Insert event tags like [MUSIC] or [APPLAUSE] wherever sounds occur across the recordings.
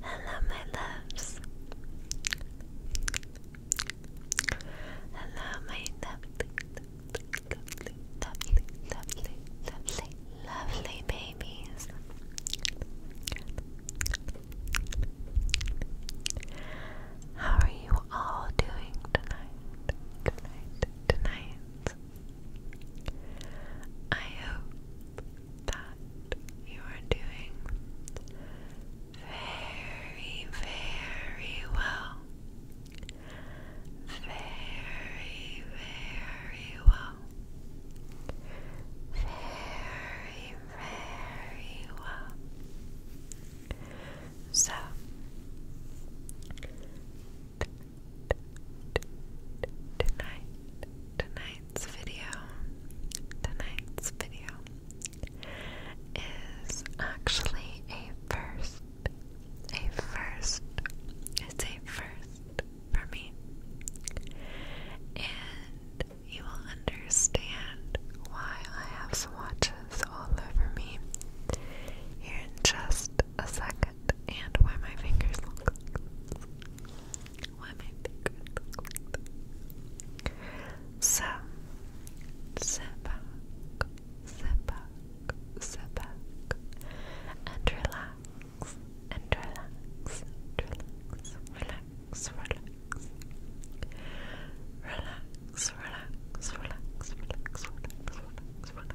Hello, my loves. Hello, my lovely, lovely, lovely, lovely, lovely, babies. How are you all doing tonight? Tonight, tonight. I hope that you are doing very, very well. Very, very well. Very, very well. So, Tonight, tonight's video, tonight's video is actually a first, a first, it's a first for me, and you will understand why I have swatches all over me here in just a second it and why my fingers look like this. Why my fingers look like this. So, sit back, sit back, sit back, and relax, and relax, relax, relax, relax. Relax, relax, relax, relax, relax, relax, relax.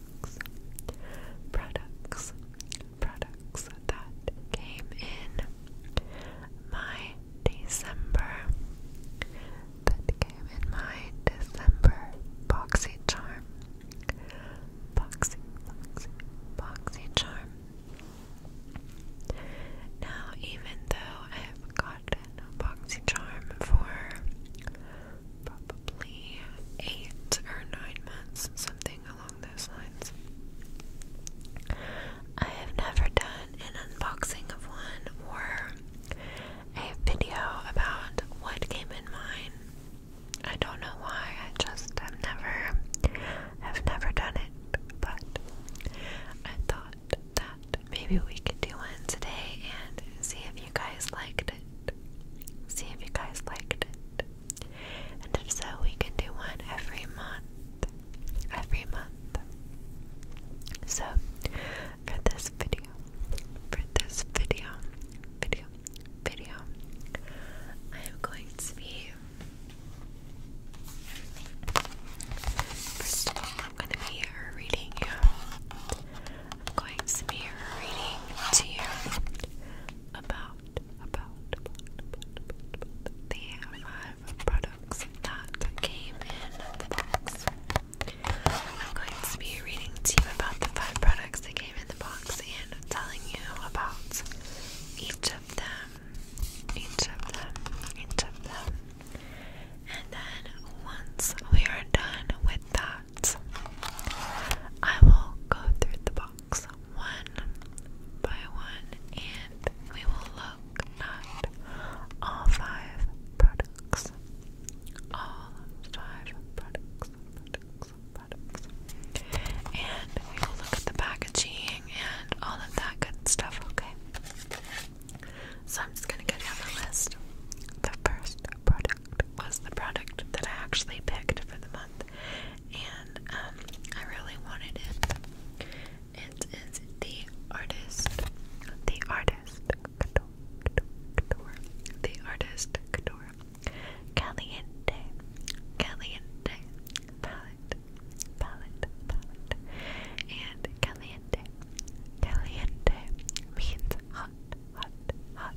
products, products, that came in my December, that came in my December boxy charm, boxy, boxy charm. Now, even though I've gotten a boxy charm for probably eight or nine months, something along those lines. I have never done an unboxing of one or a video about what came in mine. I don't know why, I just have never have never done it, but I thought that maybe we could do one today and see if you guys liked See if you guys liked it. And if so, we can do one every month. Every month. So, for this video, for this video, video, video, I am going to be. I'm going to be reading you I'm going to be reading to you about, about, the five products that came in the box. I'm going to be reading to you about the five products that came in the box and telling you about each of them, each of them, each of them. And then once we are done with that, I will go through the box one by one and we will look at all five products. All five products, products, products. And we will look at the packaging and all of that good stuff, okay? So I'm just gonna go down the list. The first product product was the product that I actually picked for the month, and um, I really wanted it. It is the artist, the artist, Couture, the artist Couture Caliente, Caliente palette, palette, palette, and Caliente, Caliente means hot hot, hot,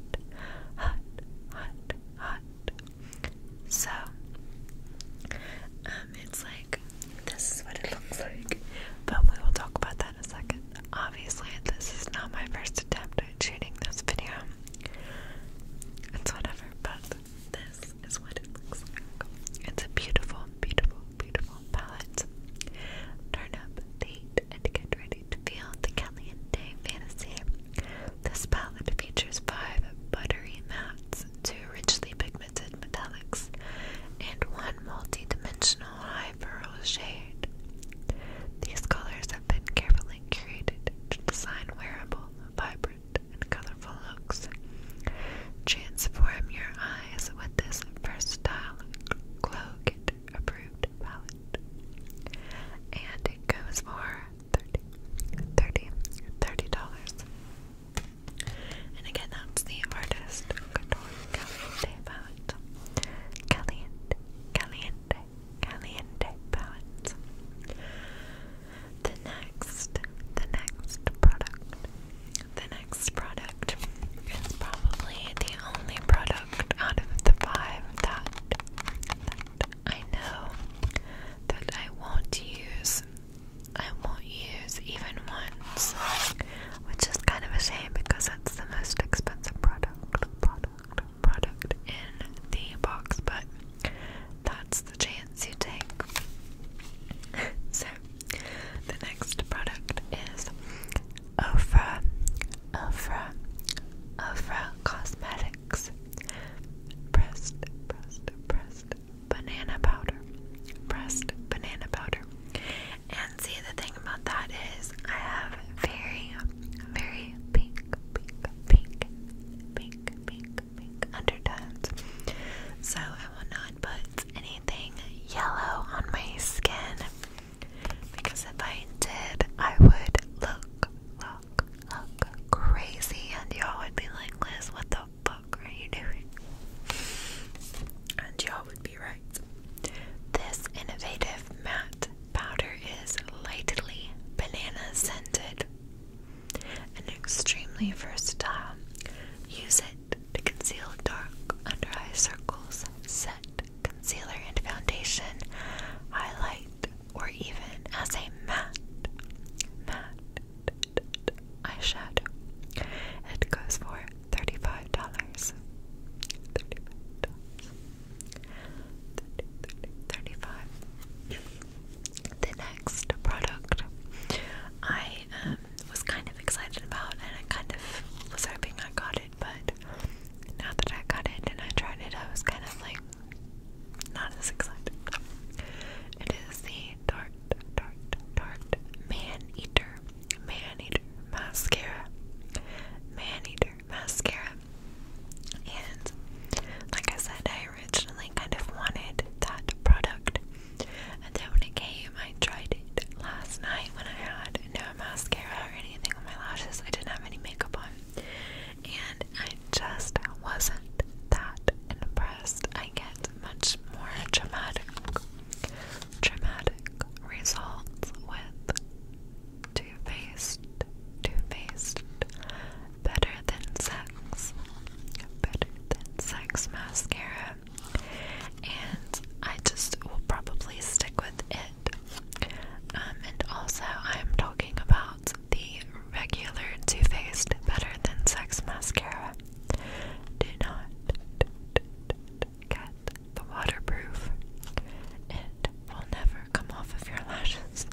hot, hot, hot. So, um, it's like this is what it looks like, but we will talk about that in a second. Obviously, this is not my first attempt at shooting this video. It's whatever, but this is what it looks like. It's a beautiful, beautiful, beautiful palette. Turn up the and get ready to feel the Caliente fantasy. This palette features five buttery mattes, two richly pigmented metallics, and one multi-dimensional high pearl shade. These colors have been carefully curated to design wearable, vibrant, and colorful looks. Transform your eyes with this versatile glow kit approved palette. And it goes for 30 dollars And again, that's the artist Couture Caliente palette. Caliente, Caliente, palette. The next, the next product the next product is probably the only product out of the five that, I know that I won't use. I won't use even once, which is kind of a shame because it's the most expensive product, product, product in the box. But that's the chance you take. [LAUGHS] so the next product is Ofra, Ofra, Ofra Cosmetics Pressed, pressed, pressed banana powder, pressed banana powder. And see, the thing about that is, I have very, very pink, pink, pink, pink, pink, pink undertones. So I will not put anything yellow on my skin. Because if I did, I would look, look, look crazy, and y'all would be like, Liz, what the fuck are you doing? And y'all would be right. This innovative matte powder is lightly banana scented and extremely versatile. Use it to conceal dark under eye circles, set concealer and foundation, highlight, or even as a matte, matte eyeshadow. It goes for thirty-five dollars. Thirty-five The next product I was kind of excited about, and I kind of was hoping I got it, but now that I got it and I tried it, I was kind of like not as excited. It is the Tarte, Tarte, Tarte Man Eater, Man Eater Mascara, Man Eater Mascara. And like I said, I originally kind of wanted that product and then when it came, I tried it last night when I had no mascara or anything on my lashes. I didn't have any makeup on. And I just wasn't that impressed. I get much more dramatic, dramatic results with two-faced, two-faced, better than sex, better than sex mascara and I just will probably stick with it. Um, and also, I'm talking about the regular 2 Faced Better Than Sex mascara. Do not get the waterproof, it will never come off of your lashes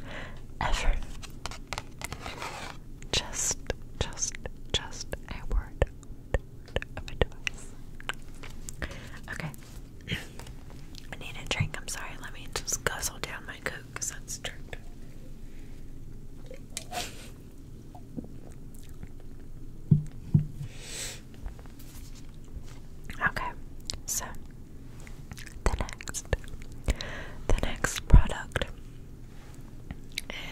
ever. Just, just, just a word Okay. I need a drink. I'm sorry. Let me just guzzle down my coke because that's tricked. Okay, so the next, the next product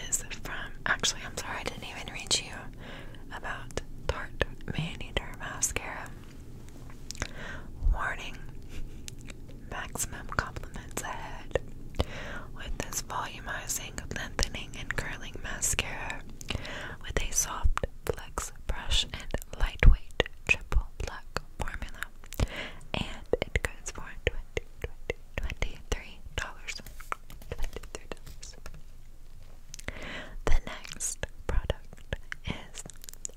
is from actually I'm sorry I didn't even reach you about Tarte Maneater mascara. Warning maximum compliments ahead. With this volumizing, lengthening, and curling mascara with a soft flex brush and lightweight triple black formula. And it goes for 20, 20, Twenty-three dollars. Twenty-three dollars. The next product is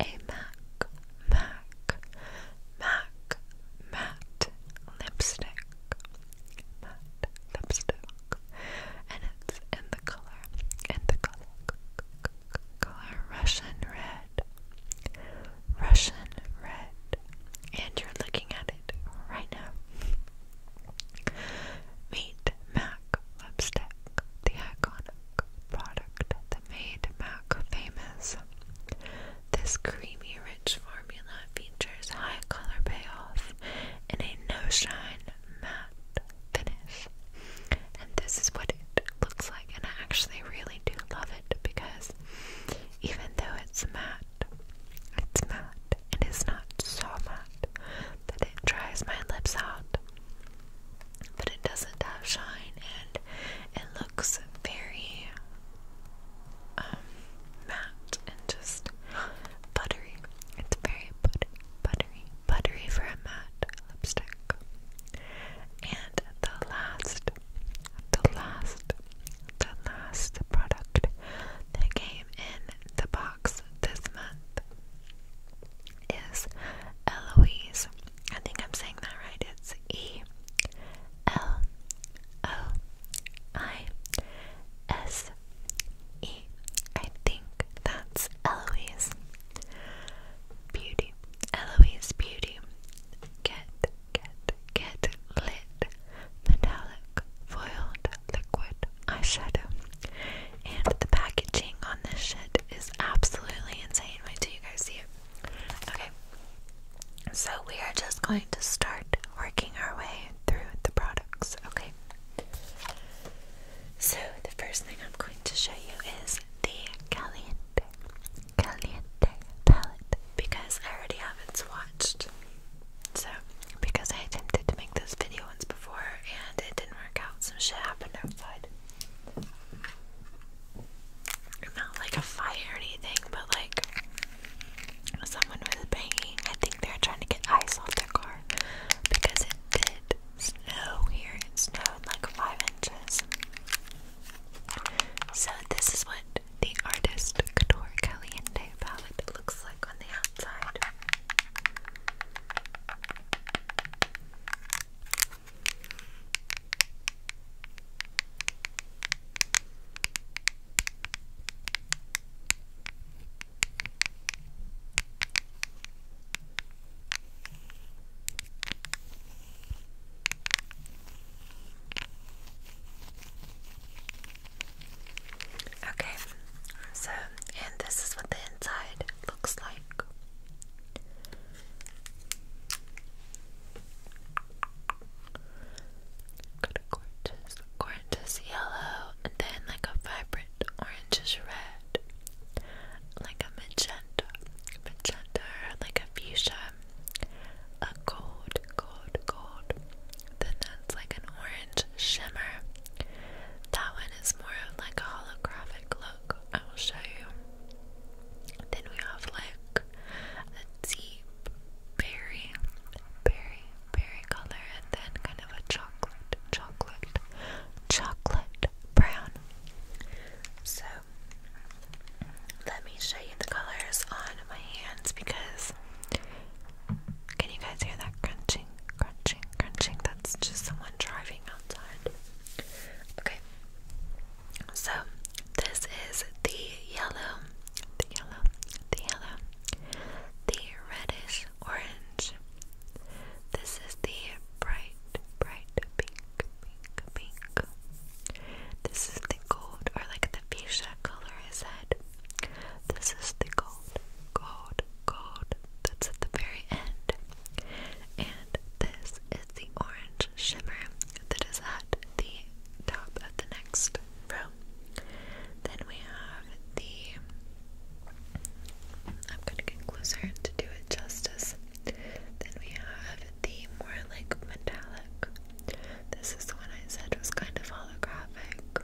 a MAC MAC MAC matte lipstick. Matte lipstick. And it's in the color, in the color, color Russian red. Russian red and you're looking at it right now. Meet Mac Lipstick, the iconic product that made Mac famous. This creamy, rich formula features high color payoff and a no-shine matte finish. And this is what it looks like, and I actually really do love it because even though it's matte, mad. It's mad. It is not so mad that it dries my lips out. But it doesn't have shine and it looks very um, matte and just buttery. It's very buttery, buttery for a matte lipstick. And the last the last, the last product that came in the box this month is Eloise. I think I'm saying that right. It's E L O I S E. I think that's Eloise Beauty. Eloise Beauty. Get Get Get Lit Metallic foil Liquid Eyeshadow. And the packaging on this shit is absolutely insane. Wait till you guys see it. Okay. So we are just going to start working our way through the products, okay? So the first thing I'm going to show you is the Caliente. Caliente palette because I already have it swatched. So, because I attempted to make those video ones before and it didn't work out, some shit happened outside. Not like a fire or anything, but like someone was banging. I think they're trying to get ice off their car because it did snow here. It snowed like five inches. So, this is what the artist Couture Caliente palette looks like on the outside. Okay, so, and this is what the inside looks like. Got gorgeous, gorgeous yellow, and then like a vibrant orangish red, like a magenta, magenta, like a fuchsia a gold, gold, gold. Then that's like an orange shimmer. That one is more of like a holographic look. I will show you. Then we have like a deep berry, berry, berry color, and then kind of a chocolate, chocolate, chocolate brown. So let me show you the colors on my hands because can you guys hear that crunching, crunching, crunching? That's just someone driving outside. Okay, so this is the yellow, the yellow, the yellow, the reddish orange. This is the bright, bright pink, pink, pink. This is the gold, or like the fuchsia color I said. This is the gold, gold, gold. That's at the very end. And this is the orange shimmer that is at the top of the next row. Then we have the. I'm gonna get closer to do it justice. Then we have the more like metallic. This is the one I said was kind of holographic.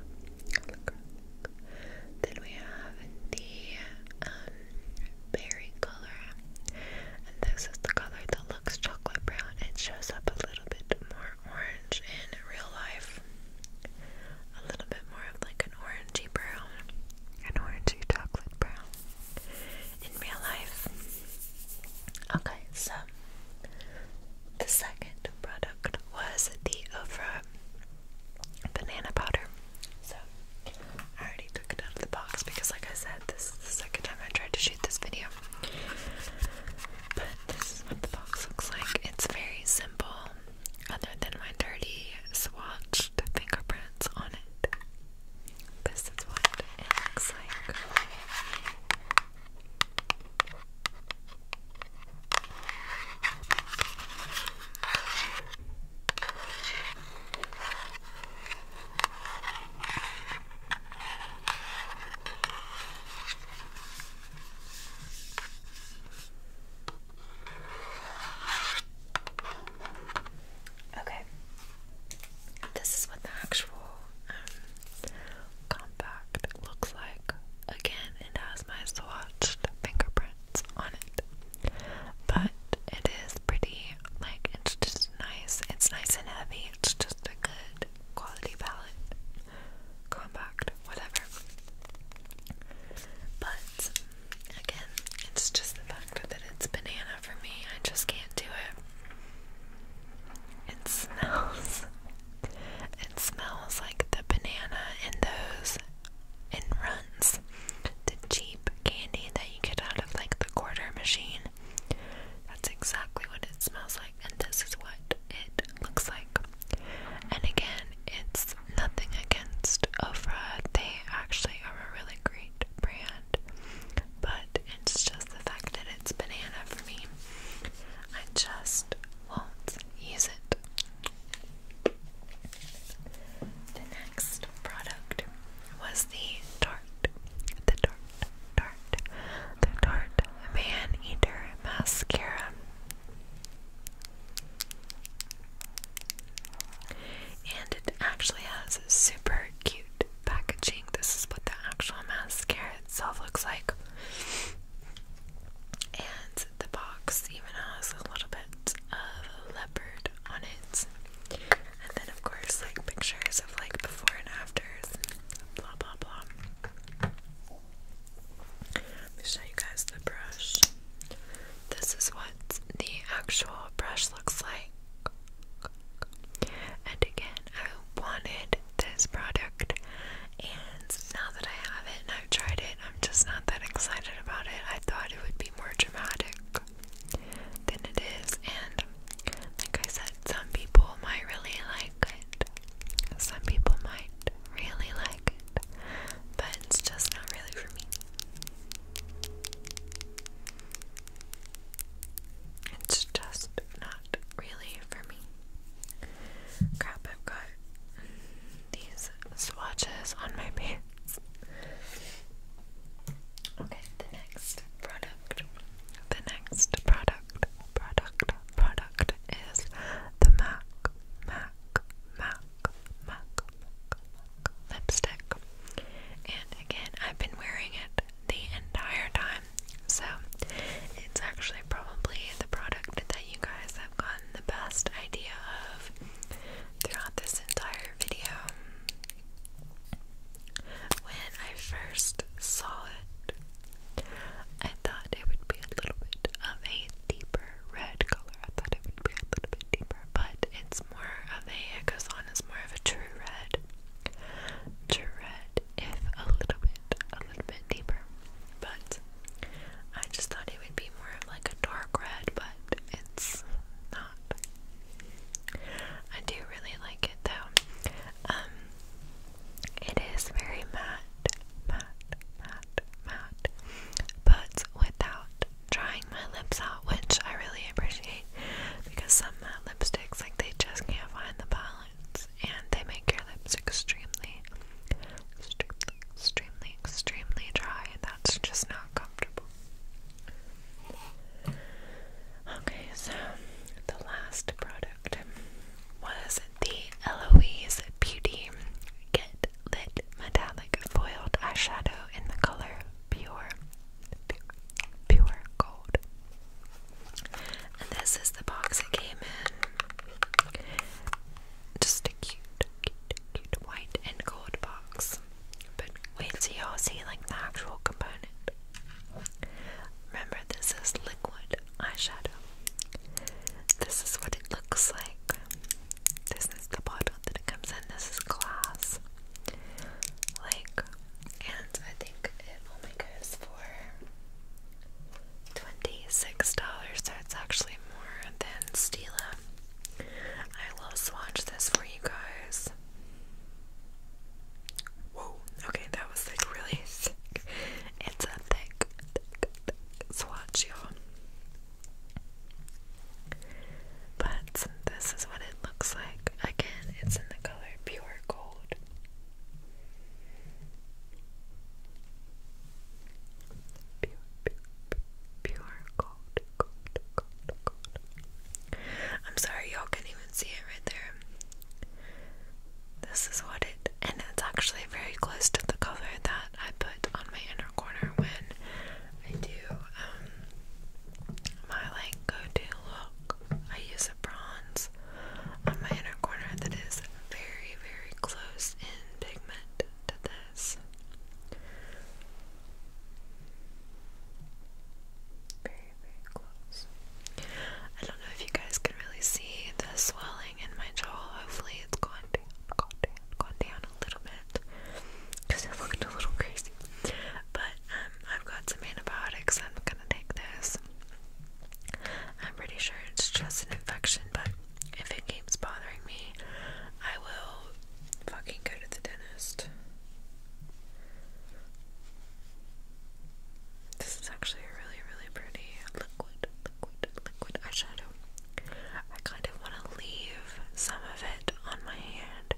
Then we have the um, berry color. And this is the color that looks chocolate brown. It shows up a little bit more orange in real life. A little bit more of like an orangey brown. An orangey chocolate brown in real life. Okay, so the second product was the Ofra banana powder. So I already took it out of the box because, like I said, this is the second time I tried to shoot this video. But this is what the box looks like. It's very simple, other than my dirty swatched fingerprints on it. This is what it looks like. Okay. This is what the actual um, compact looks like. Again, it has my swatch fingerprints on it. But it is pretty, like, it's just nice. It's nice and heavy. It's just a good quality palette. Compact, whatever. But, again, it's just the fact that it's banana for me. I just can't do it. It smells. It smells like the banana in those in runs. The cheap candy that you get out of like the quarter machine. That's exactly what it smells like, and this is what it looks like. And again, it's nothing against Ofra. They actually are a really great brand but it's just the fact that it's banana for me. I just won't use it. The next product was the Tarte, the Tarte, Tarte, the Tarte Man Eater Mascara. And it actually has super cute packaging. This is what the actual mascara itself looks like. And the box even has a little bit of leopard on it. And then, of course, like pictures of like before and afters, blah blah blah. Let me show you guys the brush. This is what the actual brush looks like. And again, I wanted this product, and now that I have it and I've tried it, I'm just not that excited about it. I thought it would be more dramatic than it is, and like I said, some people might really like it, some people might really like it, but it's just not really for me. It's just not really for me. Crap, I've got these swatches on my [LAUGHS] pants. Okay, the next product. The next product, product, product is the MAC, MAC, MAC, MAC, lipstick. And again, I've been wearing it the entire time, so it's actually probably the product that you guys have gotten the best idea of throughout this entire video. When I first saw it, I thought it would be a little bit of a deeper red color. I thought it would be a little bit deeper but it's more of a, it goes on as more of a true red. True red, if a little bit, a little bit deeper. But I just thought it would be more of like a dark red, but it's not. I do really like it though. Um, it is very matte, matte, matte, matte, but without drying my lips out, which I really appreciate because some uh, lipsticks, like they just can't find the balance, and they make your lips extremely, extremely, extremely, extremely dry, and that's just not comfortable. Okay, so the last product was the Eloise Beauty Kit lit metallic foiled eyeshadow in the color pure, pure, pure gold. And this is the box it came in. Just a cute, cute, cute white and gold box. But wait till you see like the actual component. Remember, this is liquid eyeshadow. This is what it looks like. This is the bottle that it comes in. This is glass. Like, and I think it only goes for $26, so it's actually more than Stila. I will swatch this for you guys. Whoa, okay, that was like really [LAUGHS] thick. It's a thick, thick, thick swatch, y'all. But this is what it looks like. Again, it's in the color Pure Gold. Pure, gold. I'm sorry, y'all can't even see it right there. This is what it, and it's actually very close to the color that I put on my inner corner when I do um, my like go-to look. I use a bronze on my inner corner that is very, very close in pigment to this. Very, very close. I don't know if you guys can really see the swelling in my jaw. Hopefully, it's going to down, gone down, gone down a little bit it looked a little crazy. But um, I've got some antibiotics. I'm gonna take this. I'm pretty sure it's just an infection, but if it keeps bothering me, I will fucking go to the dentist. This is actually a really, really pretty liquid, liquid, liquid eyeshadow. I kind of want to leave some of it on my hand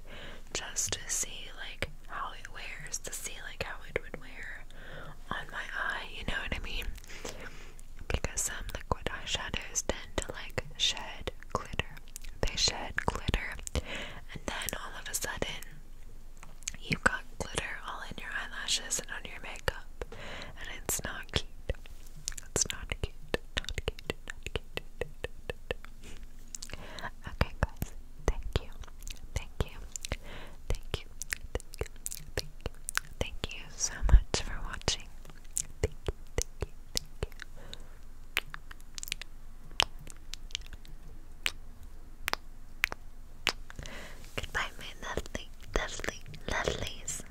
just to see like how it wears, to see like how it would wear on my eye, you know what I mean? Because some um, liquid eyeshadows tend to like shed glitter. They shed glitter, and then all of a sudden you've got glitter all in your eyelashes and on your makeup, and it's not cute. It's not cute, not cute, okay, guys, thank you, thank you, thank you, thank you, thank you, thank you so much for watching. Thank you, thank you, thank you. Goodbye, my lovely, lovely, lovelies.